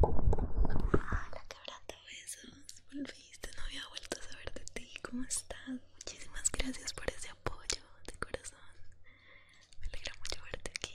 Hola, quebrata besos. Volviste, no había vuelto a saber de ti. ¿Cómo estás? Muchísimas gracias por ese apoyo de corazón. Me alegra mucho verte aquí.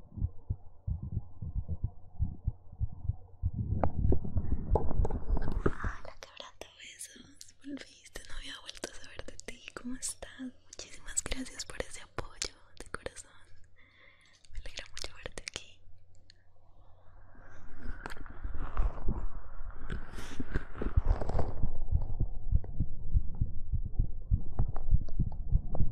Hola de besos, volviste, no había vuelto a saber de ti, ¿cómo estás? Muchísimas gracias por ese apoyo de corazón, me alegra mucho verte aquí.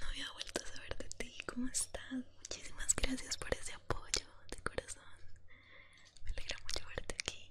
no había vuelto a saber de ti. ¿Cómo estás? Muchísimas gracias por ese apoyo de corazón. Me alegra mucho verte aquí.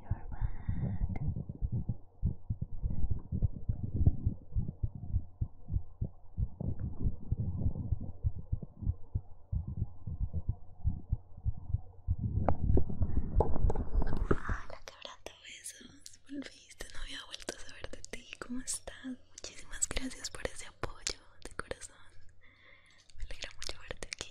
Hola qué Hola, besos. Volviste, no había vuelto a saber de ti. ¿Cómo estás? Muchísimas gracias por ese apoyo de corazón. Me alegra mucho verte aquí.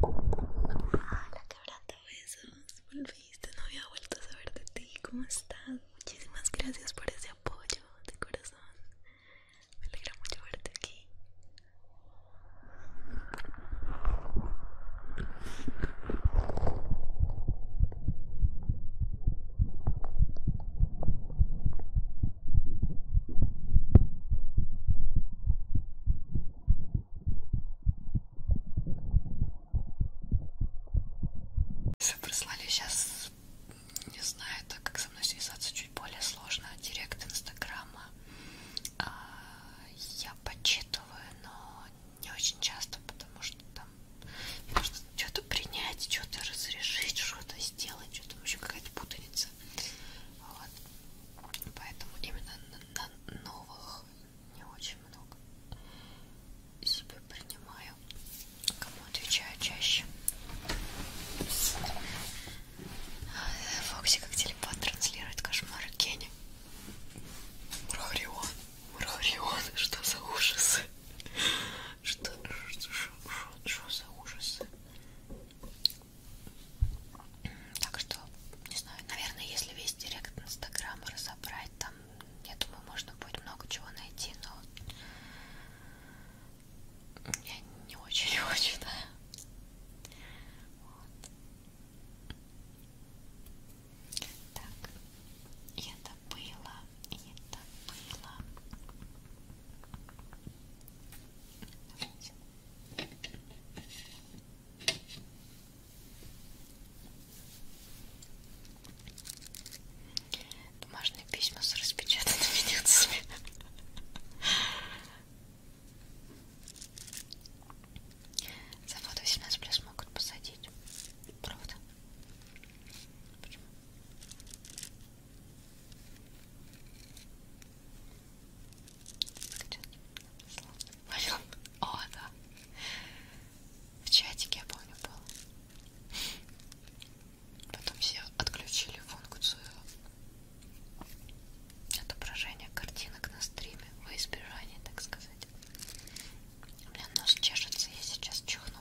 Hola, quebrando besos. Volviste, no había vuelto a saber de ti. ¿Cómo estás? Muchísimas gracias por ese apoyo de corazón. Me alegra mucho verte aquí. Прислали сейчас, не знаю, так как со мной связаться чуть более сложно, директ инстаграма а, я подчитываю, но не очень часто, потому что там можно что-то принять, что-то разрешить, что-то сделать, что-то вообще какая-то путаница. Вот. Поэтому именно на, на новых не очень много себе принимаю. Кому отвечаю чаще. Фокси как телепат транслирует кошмары Кенни. Мархарион, Мархарион, что за ужасы? Что, что, что, что за ужасы? Так что, не знаю, наверное, если весь директ Инстаграма разобрать, там, я думаю, можно будет много чего найти, но я не очень его читаю. Вот. Так, я это было, это было. Давайте. Бумажные письма с распечатанными нюцами. За фото 18 плюс могут посадить. Правда? Почему? Возьмем. О, да. В чатике, я помню, было. Потом все отключили функцию отображения картинок на стриме во избежание, так сказать. У меня нос чешется, я сейчас чихну.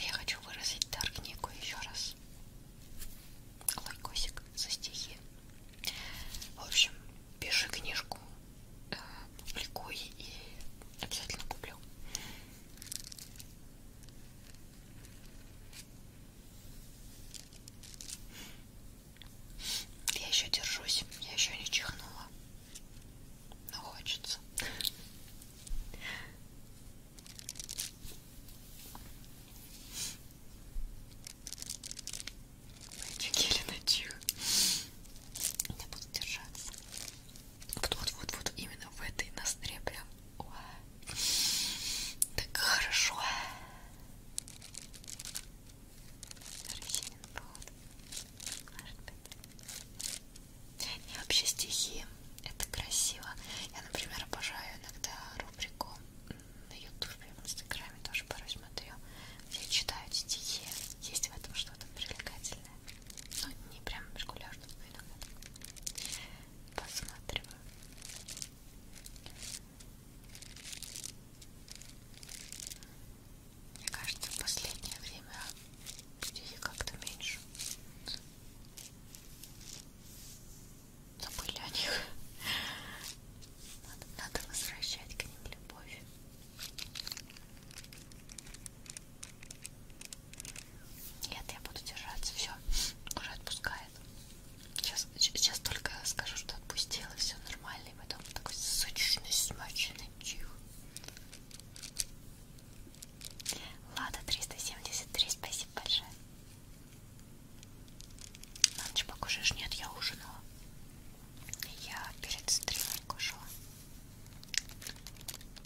Я хочу выразить Даркнику еще раз. Лайкосик за стихи. В общем, пиши книжку, э, публикуй и обязательно куплю. Я еще держусь, я еще не чихнула. Но хочется. Мальчики или ночью. Я буду держаться. Вот, вот, вот, вот именно в этой ноздре прям. О, так хорошо. Росинин плод. Может быть. И вообще стихи это красиво. Я, например, обожаю иногда рубрику на ютубе, в инстаграме тоже порой смотрю, где читают стихи. Есть в этом что-то привлекательное. Ну, не прям регулярно, но иногда посматриваю. Мне кажется, в последнее время стихи как-то меньше забыли о них. Надо, надо возвращать к ним любовь. Нет, я буду держаться. Все, уже отпускает. Сейчас, сейчас только скажу, что отпустила, все нормально, и потом такой сочный, смачный чих. Лада 373, спасибо большое. На ночь покушаешь? Нет, я ужинала. Я перед стримом кушала.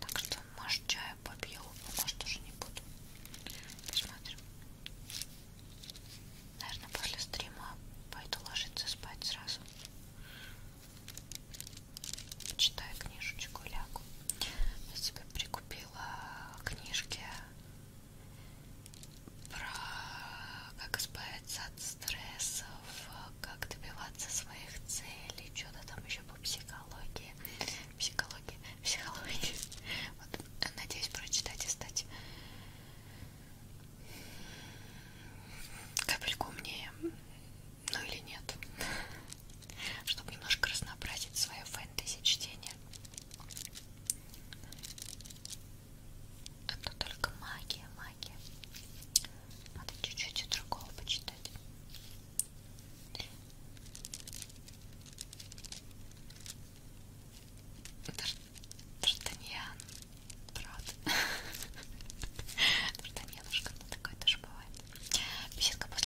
Так что, может, чаю попью, но а может, уже не буду. Посмотрим. Наверное, после стрима пойду ложиться спать сразу. Почитаю книжечку, лягу. Я себе прикупила книжки про как избавиться от стрессов, как добиваться своих целей, что-то там еще по психологии. Психологии, психологии. Вот, надеюсь прочитать и стать капельку умнее. Ну или нет чтобы немножко разнообразить свое фэнтези чтение. А то только магия, магия. Надо чуть-чуть другого почитать. Д'Артаньян, правда. Д'Артаньянушка, ну такое тоже бывает. Беседка после